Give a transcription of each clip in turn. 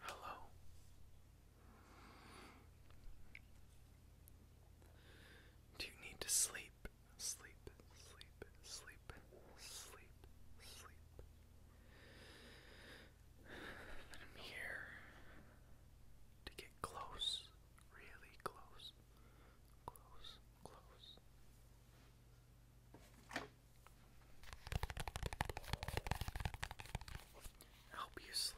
Hello. Do you need to sleep? Sleep, sleep, sleep, sleep, sleep. And I'm here to get close, really close, close, close help you sleep.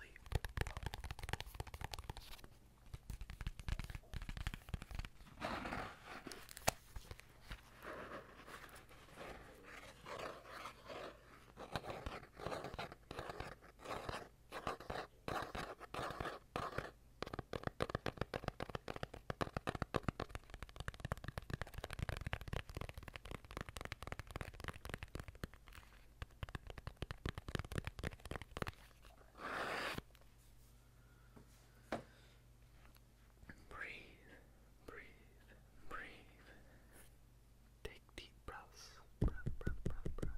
Breathe, breathe, breathe. Take deep breaths. Breath, breath, breath, breath.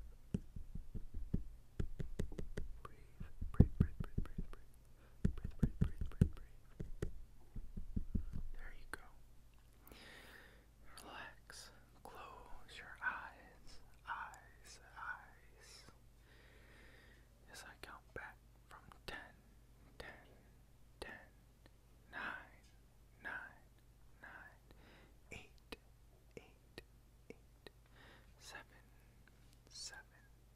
Breathe, breathe, breathe, breathe, breathe, breathe. Breathe, There you go. Relax. Close your eyes. Eyes, eyes. As I count back from 10,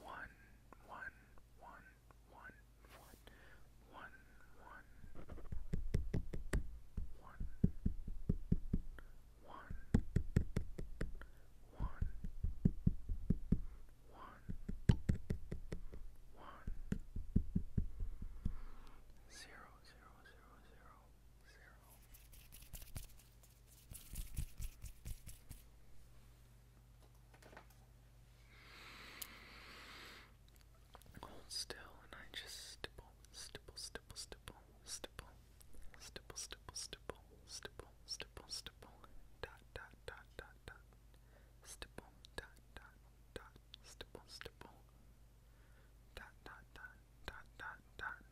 one, one, one, one, one, one, one, one, one, one, one, one, zero, zero, zero, zero, zero still I just stipple, stipple, stipple, stipple, stipple, stipple, stipple, stipple, stipple, stipple, stipple, dot, dot, dot, dot, dot, stipple, dot, dot, dot, stipple, stipple, dot, dot, dot, dot, dot, dot,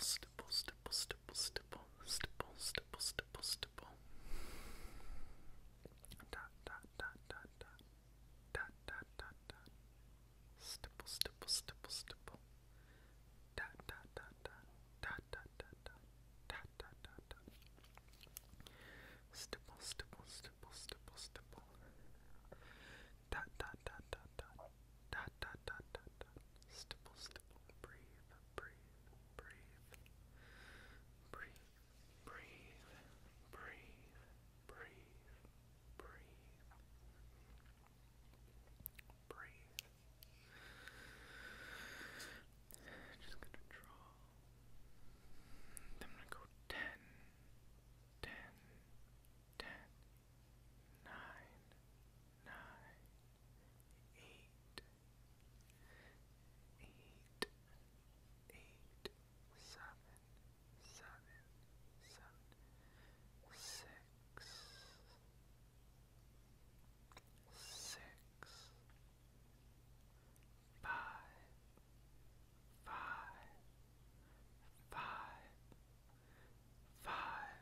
Stipple, stipple, stipple, stipple, stipple, stipple, stipple, stipple, stipple. Dot, dot, dot, dot, dot. Dot dot dot dot. Stipple stipple stipple stipple. Dot dot dot dot. Dot dot dot dot. Dot dot dot dot. Stipple stipple stipple stipple stipple. Dot dot dot dot dot. Dot dot dot Stipple stipple. Breathe breathe breathe. Breathe breathe, breathe, breathe, breathe, breathe. Just gonna draw. I'm gonna go ten, ten, ten, nine, nine, eight eight, eight, seven, seven, seven, six, six, five, five, five, five,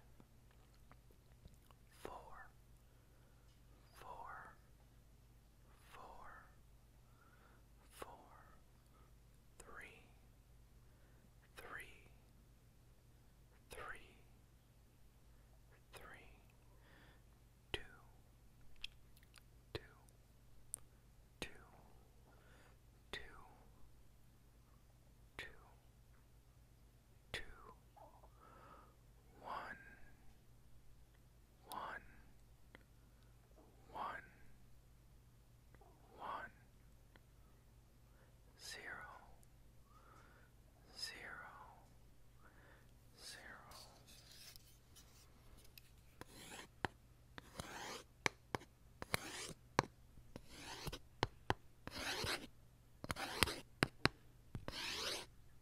four, four, four, four, three, three, three, three, two, two, two, two, two, two, one, one, one, one, zero, zero, zero.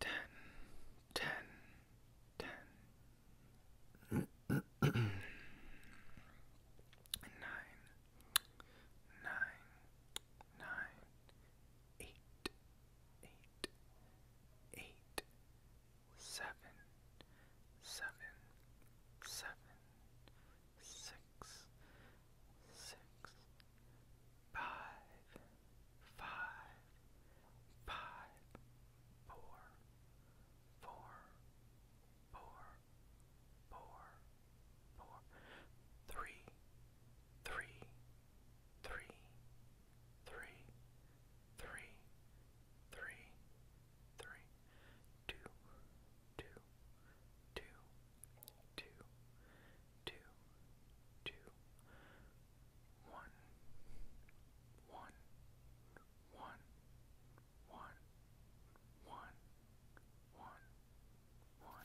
Ten, ten, ten. nine, nine, nine, eight, eight, eight, seven, seven, seven, six, six, five, five, five, four, four, four, four, four, three, three, three, three, three, three, three, two, two, two, two, two, two, one, one, one, one, one, one, one.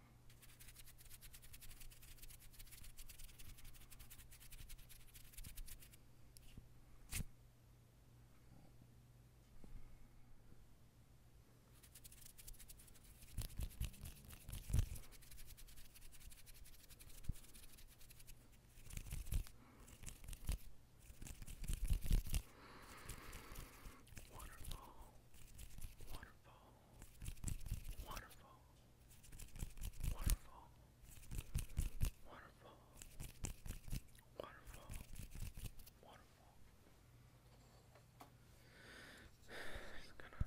Waterfall, waterfall, Wonderful. Wonderful. Wonderful. Wonderful. Wonderful. He's gonna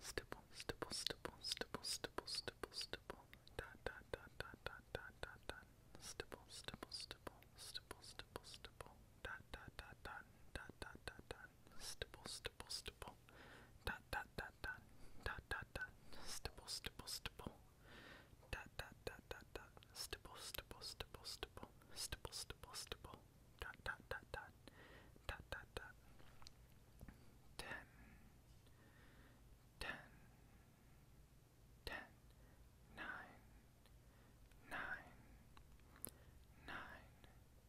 Stipple, stipple, stipple, stipple, stipple, stipple, stipple, dot, dot, dot, dot, dot, dot, dot, dot, stipple, stipple, stipple, stipple, stipple, stipple, dot, dot, dot, dot, dot, dot, dot, dot, stipple, stipple, stipple, dot, dot, dot, dot, dot, dot, dot, stipple, stipple, stipple, dot, dot, dot, dot, dot, stipple, stipple, stipple, stipple, stipple, stipple, stipple, dot, dot, dot, dot, dot, dot, dot, ten, ten, ten, nine, nine, nine. 9 8 7 6 5 4 3 2 1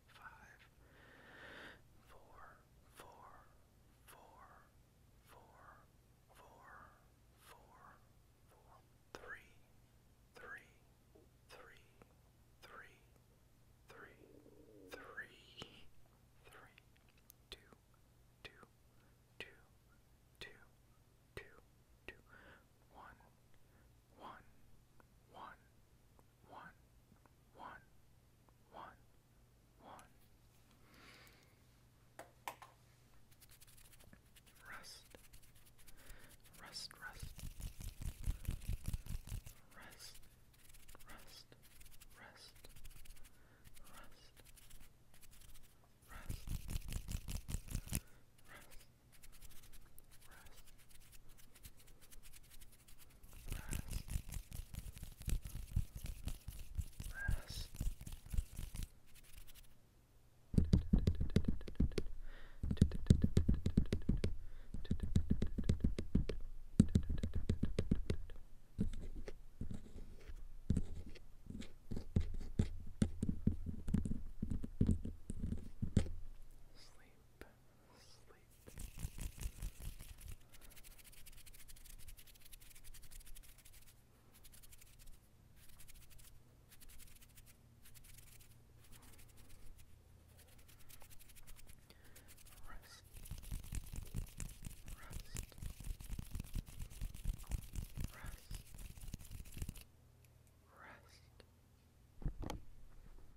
five, four, four, four, four, four, four, four, three, three, three, three, three, three, three, two, two, two, two, two, two, one, one, one, one, one, one, one. Rest, rest, rest, rest, rest, rest, rest. Rest. Rest. Rest. Rest. Sleep. Rest. Rest. Rest. Rest.